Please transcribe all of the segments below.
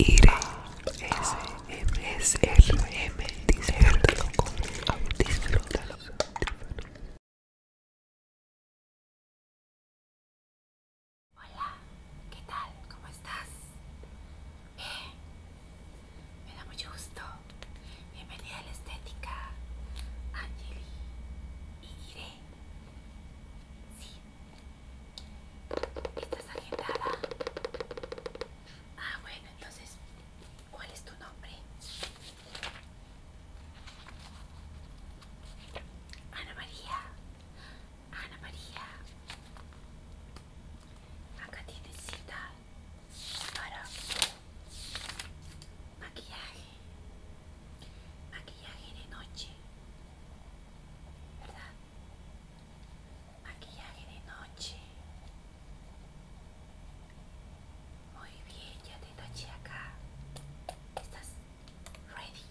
s, R M disfrútalo con disfrútalo. Hola, ¿qué tal? ¿Cómo estás? Eh? me da mucho gusto. Bienvenida a la estética, Angeli y Ire. ¿Estás agitada? Ah, bueno, entonces, ¿cuál es tu nombre? Ana María. Ana María. Acá tienes cita para maquillaje. Maquillaje de noche. ¿Verdad? maquillaje de noche muy bien ya te noche acá estás ready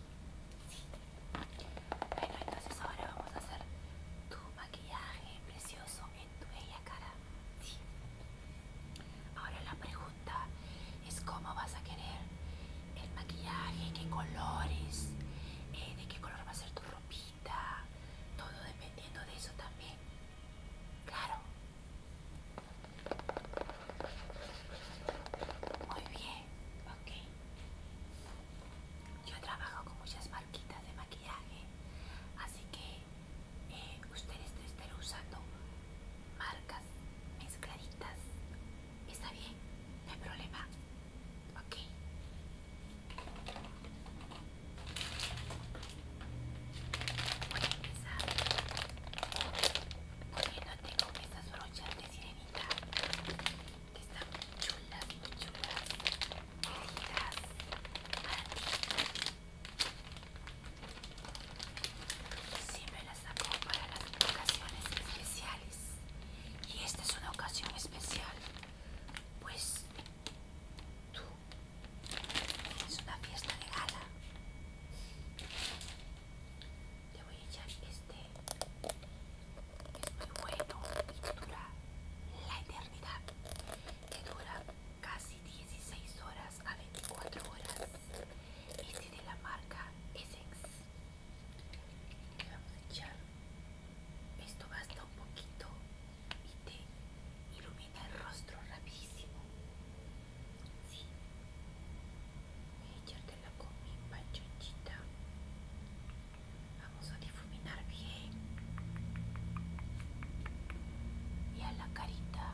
bueno entonces ahora vamos a hacer tu maquillaje precioso en tu bella cara ahora la pregunta es cómo vas a querer el maquillaje, qué colores, eh, de qué color va a ser tu ropita, todo dependiendo de eso también. Claro. Muy bien, ok. Yo trabajo con muchas marquitas de maquillaje, así que eh, ustedes ustedes estar usando marcas mezcladitas Está bien, no hay problema. Ok. Voy a empezar poniéndote tengo estas brochas de sirenita que están chulas, muy chulas, tejidas si ti. las saco para las ocasiones especiales y esta es una ocasión especial, pues tú es una fiesta de gala. Te voy a echar este, es muy bueno y dura la eternidad, que dura casi 16 horas a 24 horas. Este de la marca Essex vamos a echar esto basta un poquito y te ilumina el rostro rapidísimo voy a echártela con mi panchonchita vamos a difuminar bien y a la carita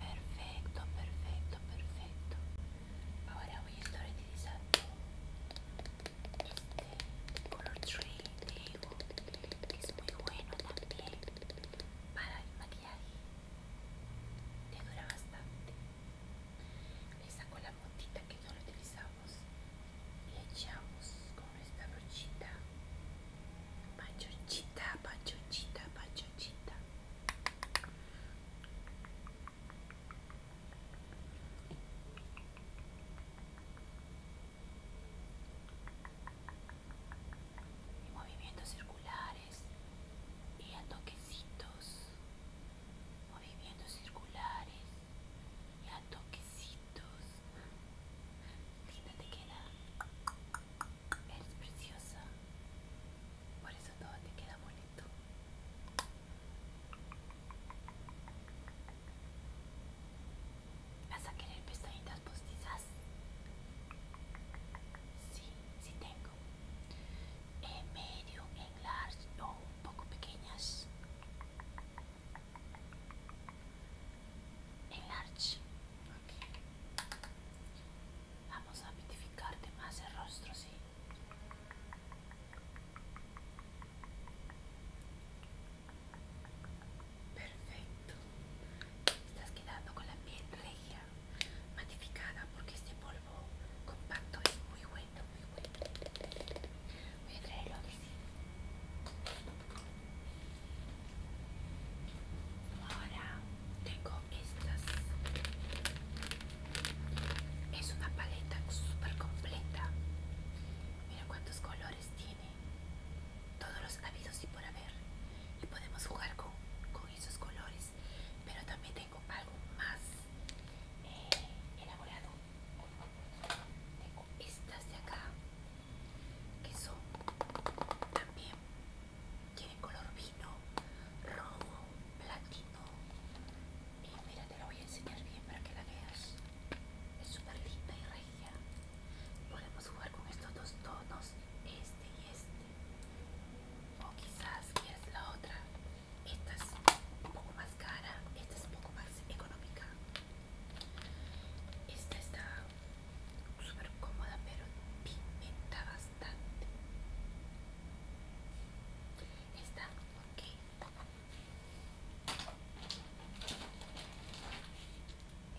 Perfecto, perfecto, perfecto. Ahora voy a estar utilizando este color tree digo, que es muy bueno también para el maquillaje. Le dura bastante. Le saco la puntita que no lo utilizamos y echamos esta brochita pachochita, pachochita, pachochita y movimientos circulares y a toquecitos movimientos circulares y a toquecitos Linda te queda. Eres preciosa. Por eso todo te queda bonito. ¿Vas a querer pestañitas postizas? Sí, sí tengo. En eh, medio, en large o un poco pequeñas. Enlarge. Okay. Vamos a mitificarte más el rostro, sí. Perfecto. Estás quedando con la piel regia, matificada, porque este polvo compacto es muy bueno, muy bueno. Voy a traerlo Ahora tengo estas. Es una paleta súper completa. Mira cuántos colores tiene. Todos los habidos y por haber. Y podemos jugar con, esos colores. Pero también tengo algo más eh, elaborado. Tengo estas de acá son también tiene color vino rojo platino y eh, mira te lo voy a enseñar bien para que la veas es súper linda y regia podemos jugar con estos dos tonos este y este o quizás es la otra esta es un poco más cara esta es un poco más económica esta está súper cómoda, pero pimenta bastante. Está ok.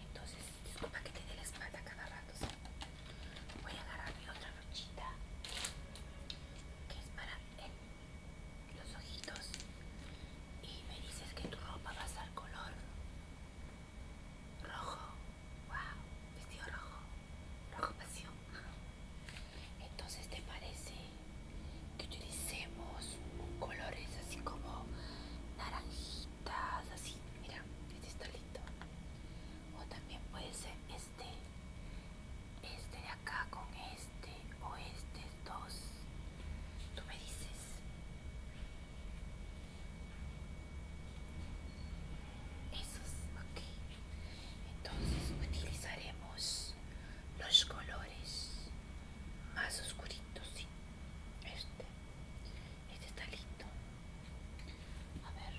Entonces, disculpa que te dé la espalda cada rato. Voy a agarrar mi otra brochita que es para los ojitos y me dices que tu ropa va a ser color rojo, wow, vestido rojo, rojo pasión. Entonces, ¿te parece que utilicemos colores así como naranjitas, así? Mira, este está lindo. O también puede ser este, este de acá con este, o este dos tú me dices. Esos, ok. Entonces utilizaremos los colores más oscuritos, Este, este está listo A ver.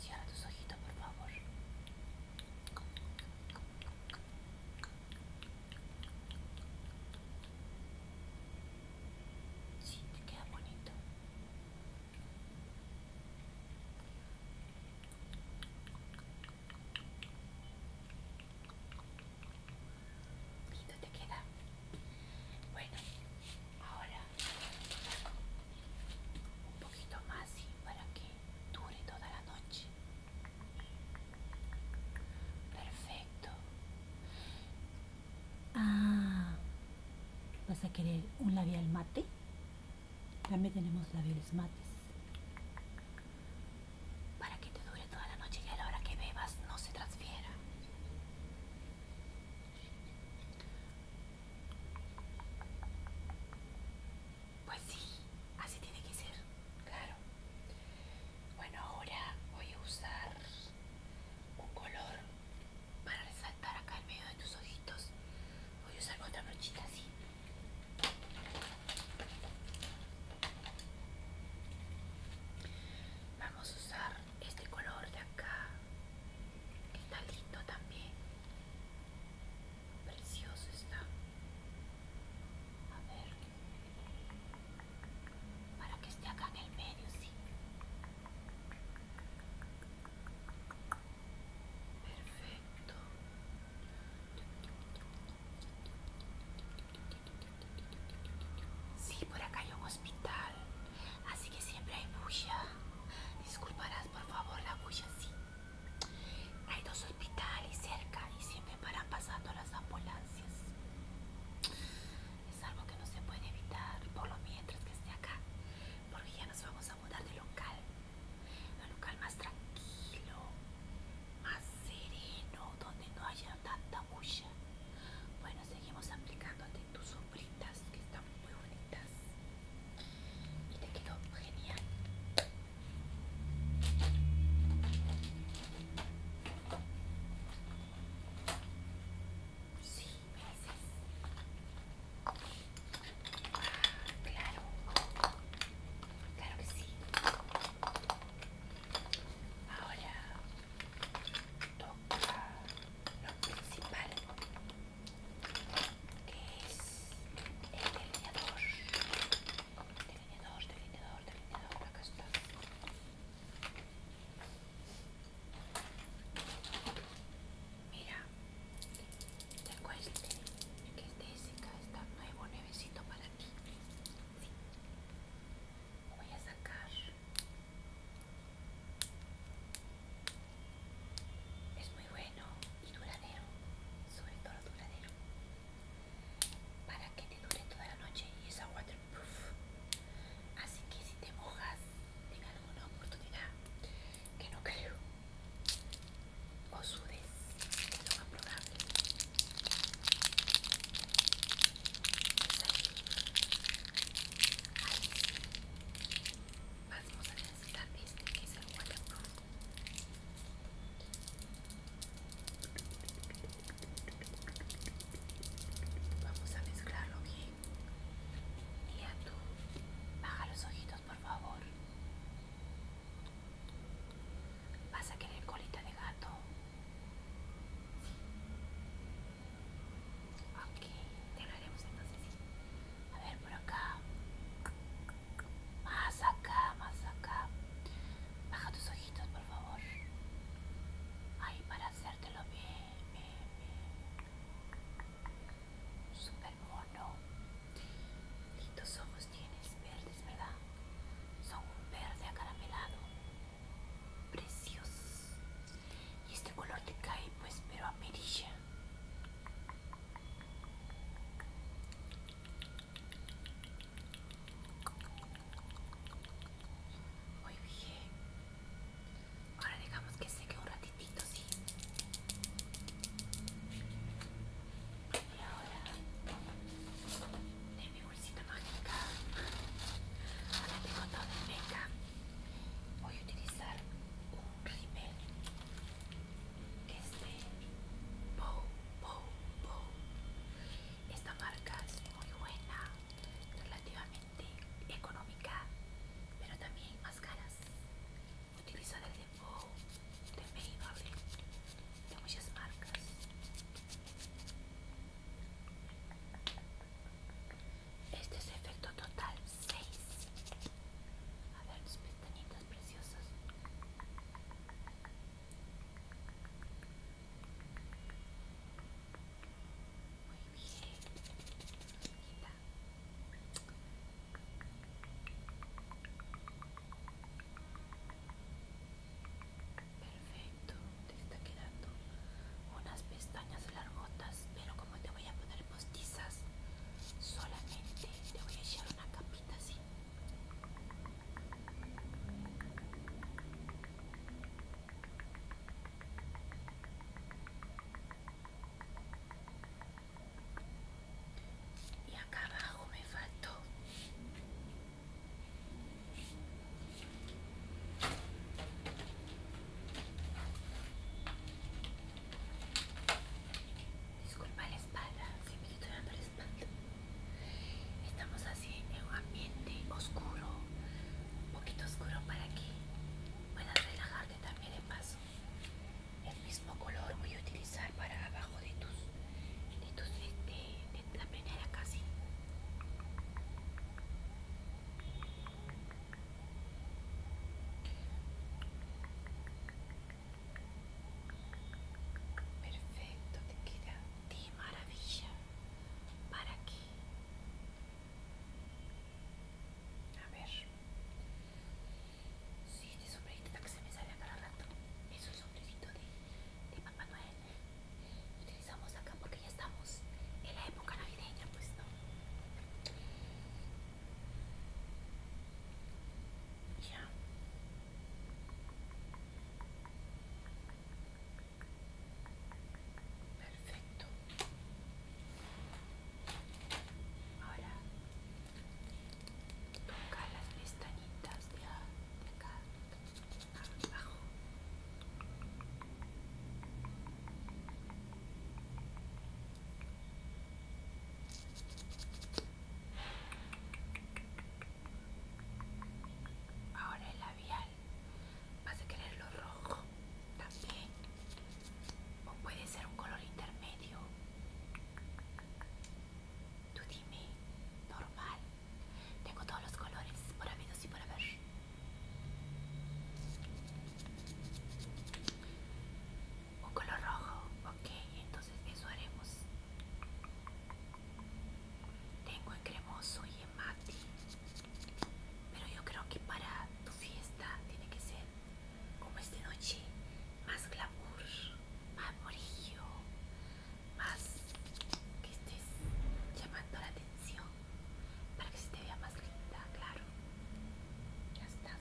Cierra tus ojitos, por favor. Sí, te queda bonito. te queda. Bueno, ahora un poquito más, para que dure toda la noche. Perfecto. Ah, ¿vas a querer un labial mate? También tenemos labiales mates. Para que te dure toda la noche y a la hora que bebas no se transfiera. Pues sí, así tiene que ser, claro. Bueno, ahora voy a usar un color para resaltar acá en medio de tus ojitos. Voy a usar otra brochita así. Vamos a usar este color de acá, que está lindo también. Precioso está. A ver. Para que esté acá en el medio, sí. Perfecto. Sí, por acá hay un hospital. Así que siempre hay bulla. Disculparás por favor la bulla, sí. Hay dos hospitales cerca y siempre paran pasando las ambulancias. Es algo que no se puede evitar por lo mientras que esté acá, porque ya nos vamos a mudar de local. Un local más tranquilo, más sereno, donde no haya tanta bulla. Bueno, seguimos aplicándote tus sombritas que están muy bonitas. Y te quedó genial. Sí, me Claro. Claro que sí. Ahora toca lo principal, que es el delineador delineador, delineador, delineador, acá está. Mira, tengo este, que es de Jessica, está nuevo, nuevecito para ti. Sí. voy a sacar. Es muy bueno y duradero, sobre todo duradero para que te dure toda la noche y esa waterproof así que si te mojas en alguna oportunidad que no creo o sudes que es lo más probable ahí. vamos a necesitar este que es el waterproof Vamos a mezclarlo bien. Mira tú, baja los ojitos por favor. Vas a querer colita de gato. Ok, te lo haremos entonces. A ver por acá. Más acá, más acá. Baja tus ojitos, por favor. Ahí para hacértelo bien, bien, bien. Super mono. ojos tienes, verdes, ¿verdad? Son un verde acaramelado. Precioso. Y este color te cae, pues, pero amarilla. Muy bien. Ahora dejamos que seque un ratitito, sí. Y ahora de mi bolsita mágica. Ahora tengo todo el mega Voy a utilizar un rímel este esta marca es muy buena relativamente económica pero también más caras utilizo de Bow de Maybelline de muchas marcas este es efecto total 6 a ver tus pestañitas muy bien, Perfecto, te está quedando unas pestañas largotas, pero como te voy a poner postizas, solamente te voy a echar una capita así y acá abajo me faltó. Disculpa espalda, me estoy dando la espalda. Estamos así en un ambiente oscuro, un poquito oscuro para que puedas relajarte también de paso. El mismo color voy a utilizar para abajo de tus, de tus, la primera casi. Perfecto, te queda de maravilla. ¿Para aquí A ver. Sí, este sombrerito que se me sale a cada rato. Es un sombrerito de, Papá Noel. utilizamos acá porque ya estamos en la época navideña, pues no. Ya. Perfecto. Ahora toca las pestañitas de acá abajo. Ahora el labial. ¿Vas a quererlo rojo también? ¿O puede ser un color intermedio? Tú dime, normal. Tengo todos los colores por habido y por haber un color rojo, ok, entonces eso haremos. Tengo en cremoso y en mate, pero yo creo que para tu fiesta tiene que ser como esta noche, más glamour, más morillo, más que estés llamando la atención para que se te vea más linda, claro. Ya estás.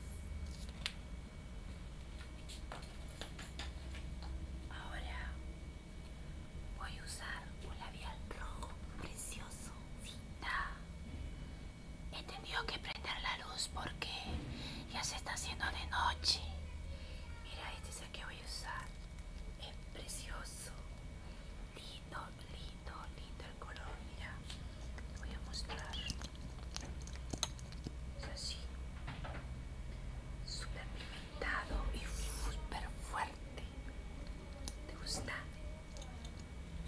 Ahora voy a usar un labial rojo precioso. He tenido que prender la luz porque ya se está haciendo de noche. Mira, este es el que voy a usar. Es precioso. Lindo, lindo, lindo el color. Mira, te voy a mostrar es así súper pimentado y súper fuerte te gusta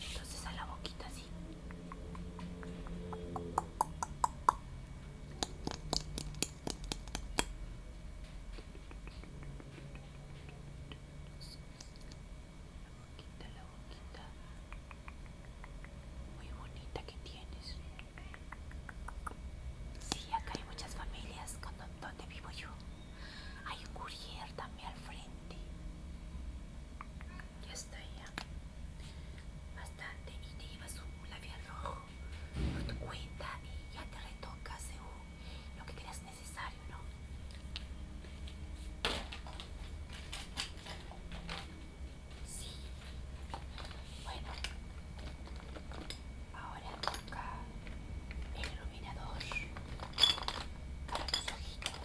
entonces a la boquita así la boquita, la boquita muy bonita que tienes. Sí, acá hay muchas familias donde vivo yo. Hay un courier también al frente. Ya está ya. Bastante. Y te llevas un labial rojo por cuenta y ya te retocas lo que creas necesario, ¿no? Sí. Bueno. Ahora toca el iluminador para los ojitos.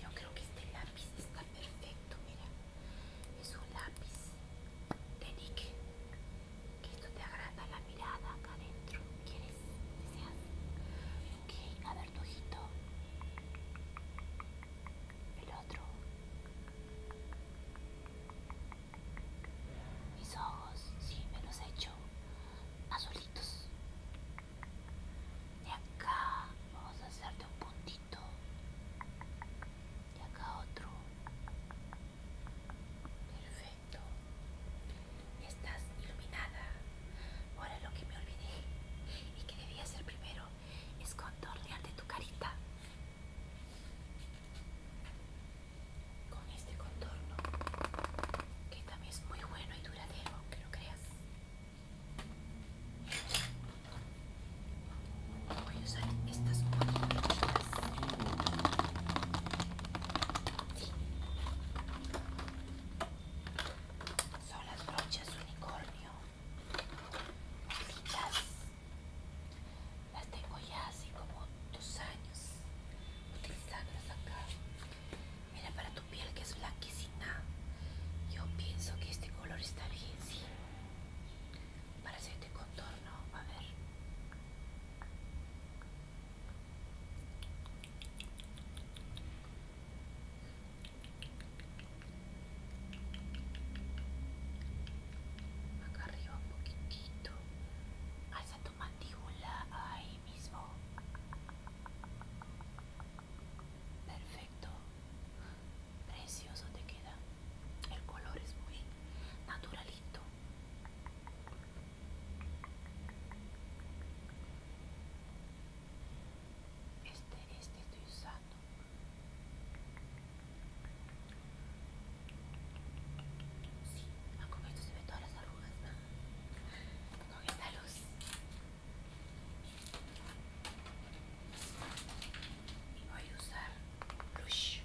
Yo creo que este lápiz está perfecto, mira. Es un lápiz de Nick. Que esto te agrada la mirada acá adentro. ¿Quieres? Ok, a ver tu ojito. El otro. Mis ojos, sí, me los he hecho azulitos. Y acá vamos a hacerte un puntito. Y acá otro. Perfecto. Estás iluminada. Ahora lo que me olvidé y que debía hacer primero es contornearte tu carita. Con este contorno, que también es muy bueno y duradero, que lo creas. Voy a usar estas son las brochas unicornio las tengo ya así como dos años utilizándolas acá mira para tu piel que es blanquecina yo pienso que este color está bien sí para hacerte contorno a ver Acá arriba un poquitito. Hasta tu mandíbula ahí mismo. Perfecto. Precioso te queda. El color es muy naturalito. Este, este estoy usando. Sí, a ah, con se ven todas las arrugas. ¿no? Con esta luz. Y voy a usar blush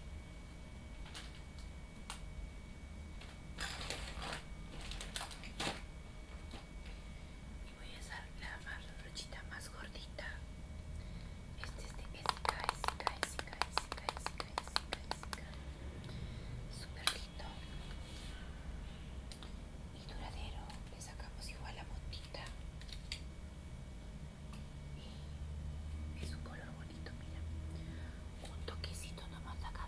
y voy a usar la brochita más gordita este es de Esika, Esika, Esika, esica Esika, super lindo y duradero le sacamos igual la montita y es un color bonito mira un toquecito nomás acá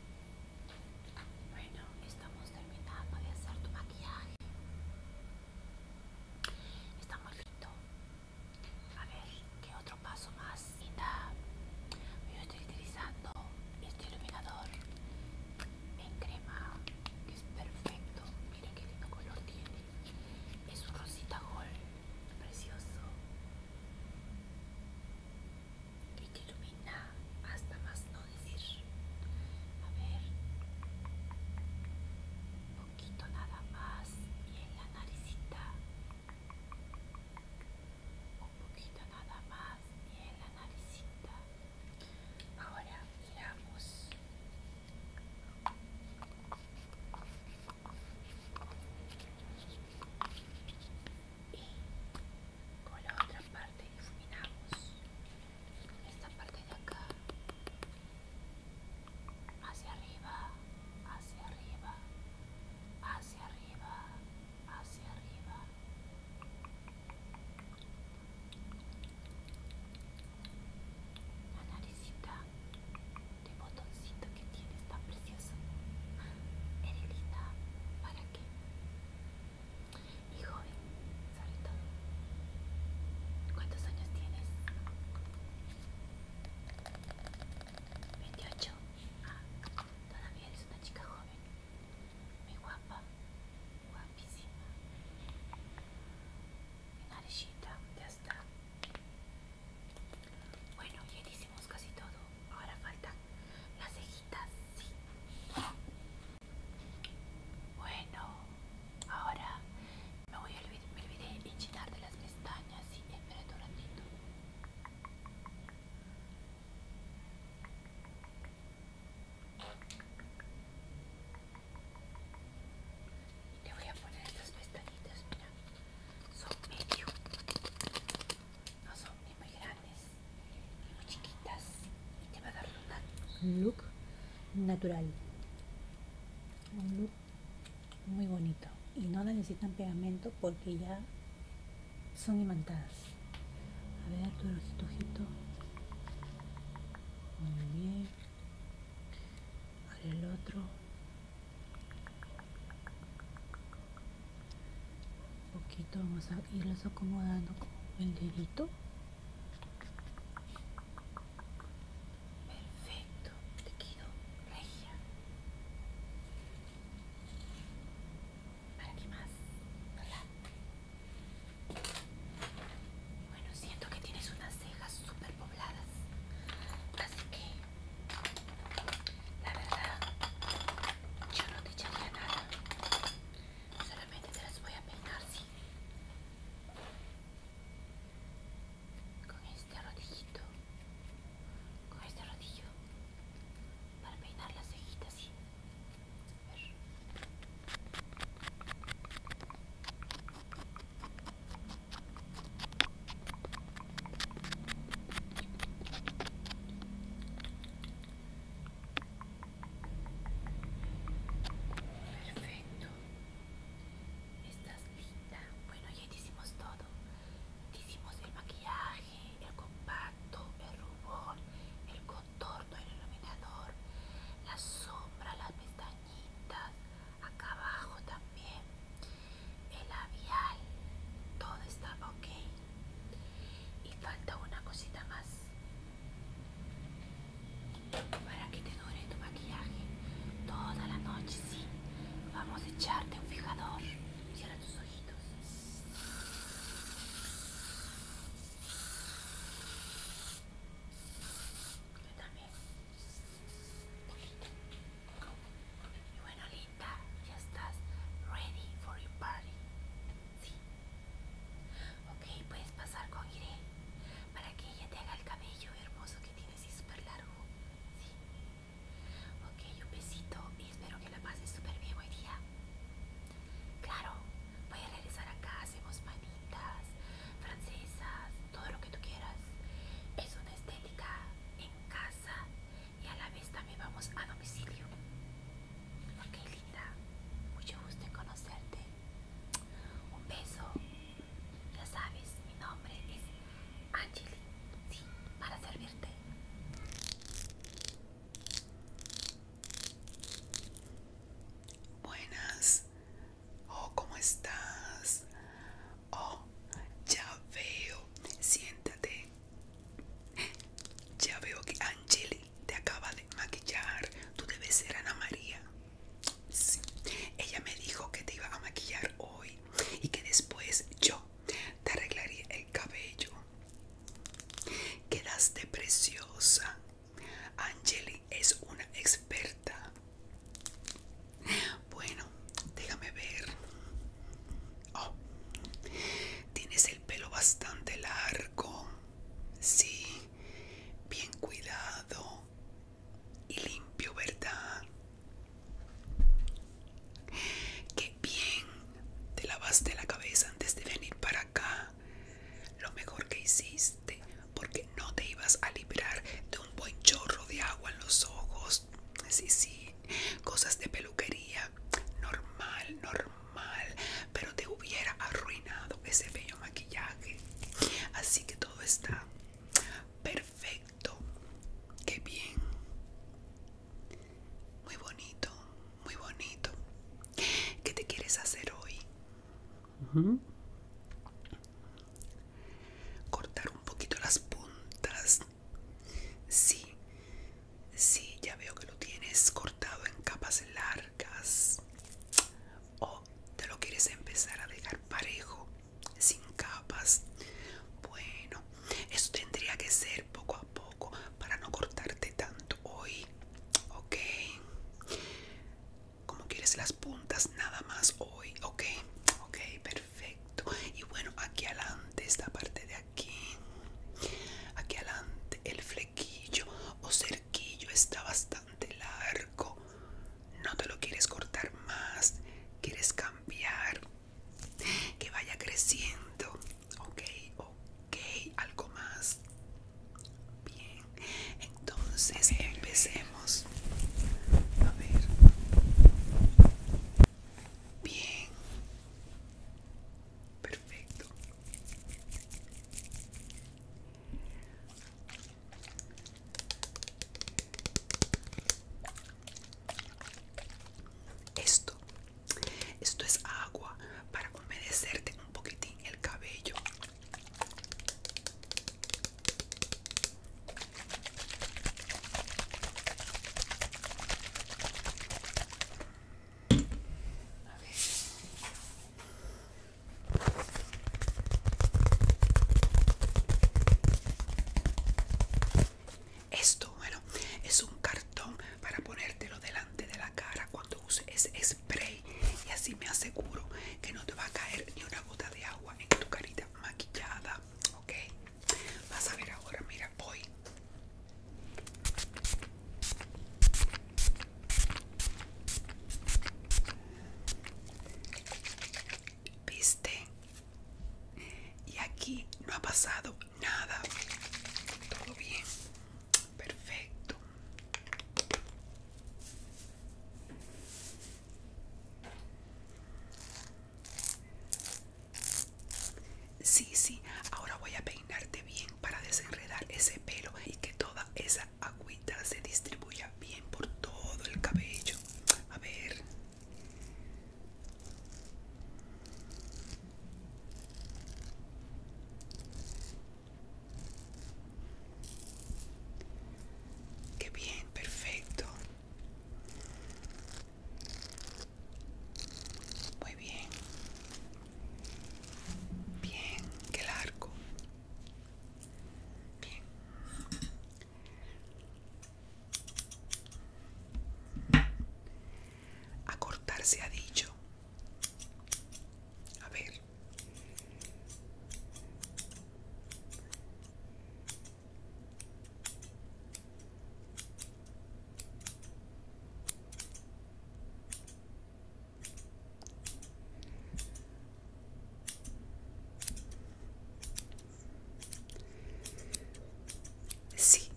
Bueno, estamos terminando de hacer tu maquillaje. Está muy lindo. A ver, ¿qué otro paso más? yo estoy utilizando este iluminador en crema, que es perfecto. Mira qué lindo color tiene. Es un rosita gold, precioso que te ilumina hasta más no decir. A ver, un poquito nada más y en la naricita. Un poquito nada más y en la naricita. Ahora miramos y con la otra parte difuminamos esta parte de acá hacia arriba hacia arriba hacia arriba hacia arriba de botoncito que tienes tan precioso. Eres linda, ¿para qué? Y joven, sobre todo. ¿Cuántos años tienes? 28. Ah, todavía eres una chica joven. Muy guapa, guapísima. Mi narizita, ya está. Bueno, ya hicimos casi todo. Ahora faltan las cejitas, sí. Bueno, ahora me voy a olvidar, me olvidé enchinar de las pestañas, sí, espera un ratito. Le voy a poner estas pestañitas, mira, son medio no son ni muy grandes ni muy chiquitas y te va a dar un look natural un look muy bonito y no necesitan pegamento porque ya son imantadas a ver tu ojito, muy bien ver el otro un poquito vamos a irlos acomodando con el dedito. Perfecto, te quedo regia. ¿Para qué más? Bueno, siento que tienes unas cejas súper pobladas. Así que la verdad, yo no te echaría nada. Solamente te las voy a peinar, sí. Con este rodillito. Con este rodillo. Para peinar las cejitas, sí. A ver. Perfecto. Estás lista Bueno, ya hicimos todo. hicimos el maquillaje, el compacto, el rubor, el contorno, el iluminador, la sombra, las pestañitas, acá abajo también el labial, todo está ok. Y falta una cosita más para que te dure tu maquillaje toda la noche, sí. Vamos a echarte un fijador. Cierra tus ojitos. Y bueno, linda, ya estás ready for your party. Sí. Ok, puedes pasar con Irene para que ella te haga el cabello hermoso que tienes y súper largo. Sí. Ok, un besito y espero que la pases súper bien hoy día. Claro, voy a regresar acá, hacemos manitas, francesas, todo lo que tú quieras. Es una estética en casa y a la vez también vamos a domicilio. Ok, linda, mucho gusto en conocerte. Un beso. Ya sabes, mi nombre es Angeli. Sí, para servirte. Buenas. Oh, ¿cómo estás? Oh, ya veo. Siéntate. Ya veo que Angeli te acaba de maquillar. Tú debes ser Ana María. Sí. Ella me dijo que te iba a maquillar hoy y que después yo te arreglaría el cabello. Quedaste preciosa. Angeli es una experta. Bueno, déjame ver. Oh, tienes el pelo bastante largo. Sí, bien cuidado y limpio, ¿verdad? Qué bien. Te lavaste la cabeza antes de venir para acá. Lo mejor que hiciste porque no te ibas a librar de un buen chorro de agua en los ojos Sí, sí, cosas de peluquería. Normal, normal. Pero te hubiera arruinado ese bello maquillaje. Así que todo está perfecto. Qué bien. Muy bonito, muy bonito. ¿Qué te quieres hacer hoy? Cortar un poquito las puntas Sí, sí, ya veo que lo tienes cortado en capas largas. O te lo quieres empezar a dejar parejo, sin capas. Bueno, eso tendría que ser poco a poco para no cortarte tanto hoy. Ok. Como quieres las puntas nada más hoy. Ok, ok, perfecto perfecto y bueno aquí adelante esta parte de aquí aquí adelante el flequillo o cerquillo está bastante largo no te lo quieres cortar más quieres cambiar que vaya creciendo ok ok algo más bien entonces empecemos a ver Bien. Perfecto. Esto, esto es agua para humedecerte un poquitín el cabello. Esto, bueno, es un cartón para ponértelo delante de la cara cuando uses spray y así me aseguro que no te va a caer ni una gota de agua en tu carita maquillada. Okay, ok. Vas a ver ahora, mira, voy. ¿Viste? Y aquí no ha pasado nada. Todo bien. Perfecto. Sí, sí, ahora voy a peinarte bien para desenredar ese pelo y que toda esa agüita se distribuya bien por todo el cabello. A ver. Qué bien, perfecto. Muy bien. Bien, qué largo. Bien. cortarse se ha dicho. A ver. Sí,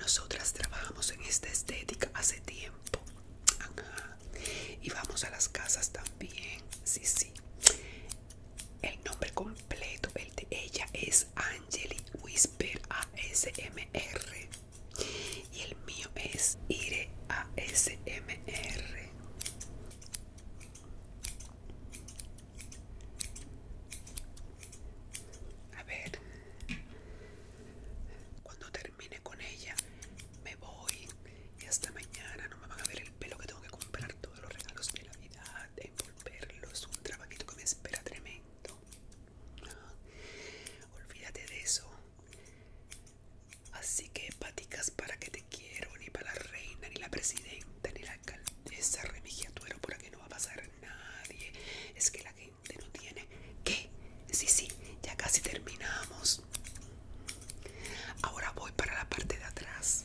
nosotras trabajamos en esta estética hace tiempo. Y vamos a las casas también. Sí, sí. El nombre completo el de ella es Angeli Whisper ASMR y el mío es Ire ASMR. A ver, cuando termine con ella me voy y hasta mañana no me van a ver el pelo que tengo que comprar todos los regalos de la vida devolverlos un trabajito que me espera tremendo olvídate de eso así que paticas para que te quiero ni para la reina ni la presidenta ni la alcaldesa tuero por aquí no va a pasar nadie es que la gente no tiene que sí sí ya casi terminamos ahora voy para la parte de atrás.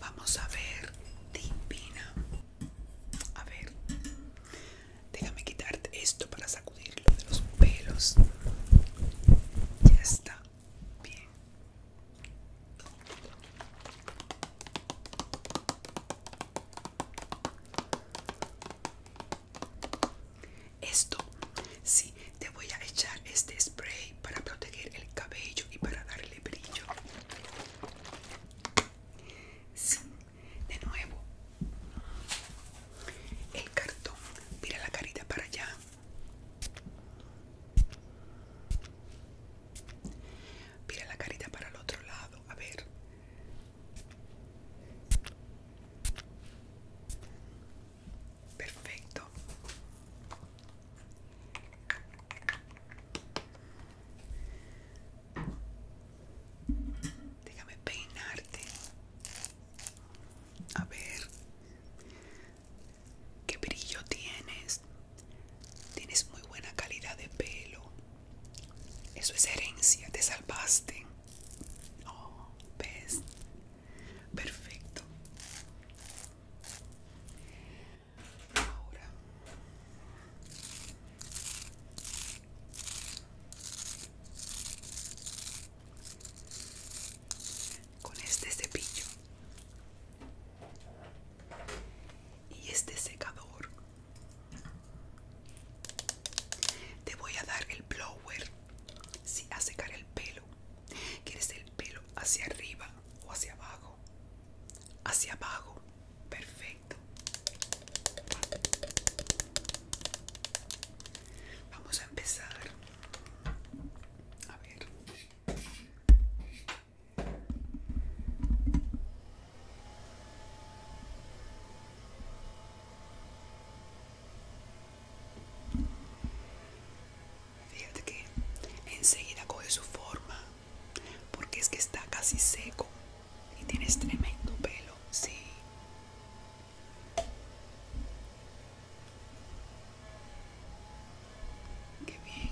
Vamos a ver, Divina A ver, déjame quitarte esto para sacudirlo de los pelos. Ya está bien. Esto, sí, te voy a echar este spray para proteger el cabello y para darle brillo. Sí, de nuevo. El cartón, mira la carita para allá. Mira la carita para el otro lado, a ver. Perfecto. Déjame peinarte. A ver. ¿Qué brillo tienes? Tienes muy buena calidad de pelo. Eso es herencia, te salvaste. Oh, ves, Perfecto. Ahora. Con este cepillo y este secador te voy a dar el blower si a secar el pelo. ¿Quieres el pelo hacia arriba o hacia abajo? Hacia abajo. Perfecto. Vamos a empezar. A ver. Fíjate que enseguida coge su forma, porque es que está casi seco y tienes tremendo pelo, sí. Qué bien.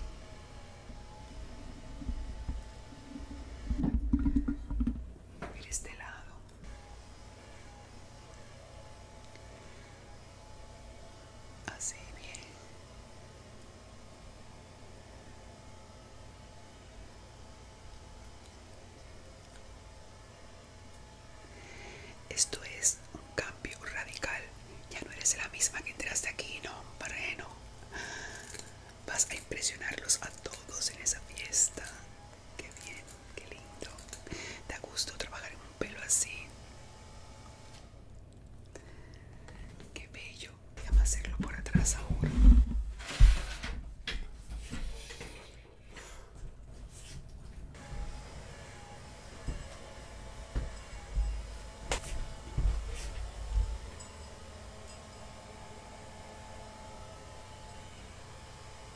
Mira este lado. Así bien. Esto es un cambio radical. Ya no eres la misma que entraste aquí, no, hombre, Vas a impresionarlos a todos en esa fiesta. Qué bien, qué lindo. Da gusto trabajar en un pelo así. Qué bello. a hacerlo por atrás ahora.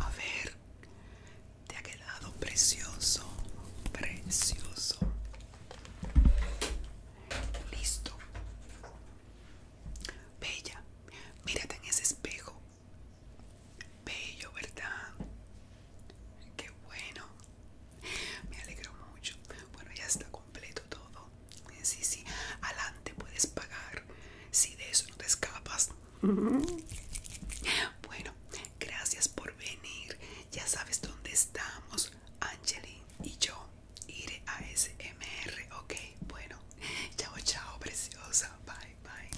A ver, te ha quedado precioso, precioso. Listo. Bella, mírate en ese espejo. Bello, ¿verdad? Qué bueno. Me alegro mucho. Bueno, ya está completo todo. Sí, sí. Adelante puedes pagar. Si de eso no te escapas. Bueno, gracias por venir. Ya sabes dónde estamos, Angeline y yo ir a SMR, ok. Bueno, chao, chao, preciosa. Bye, bye.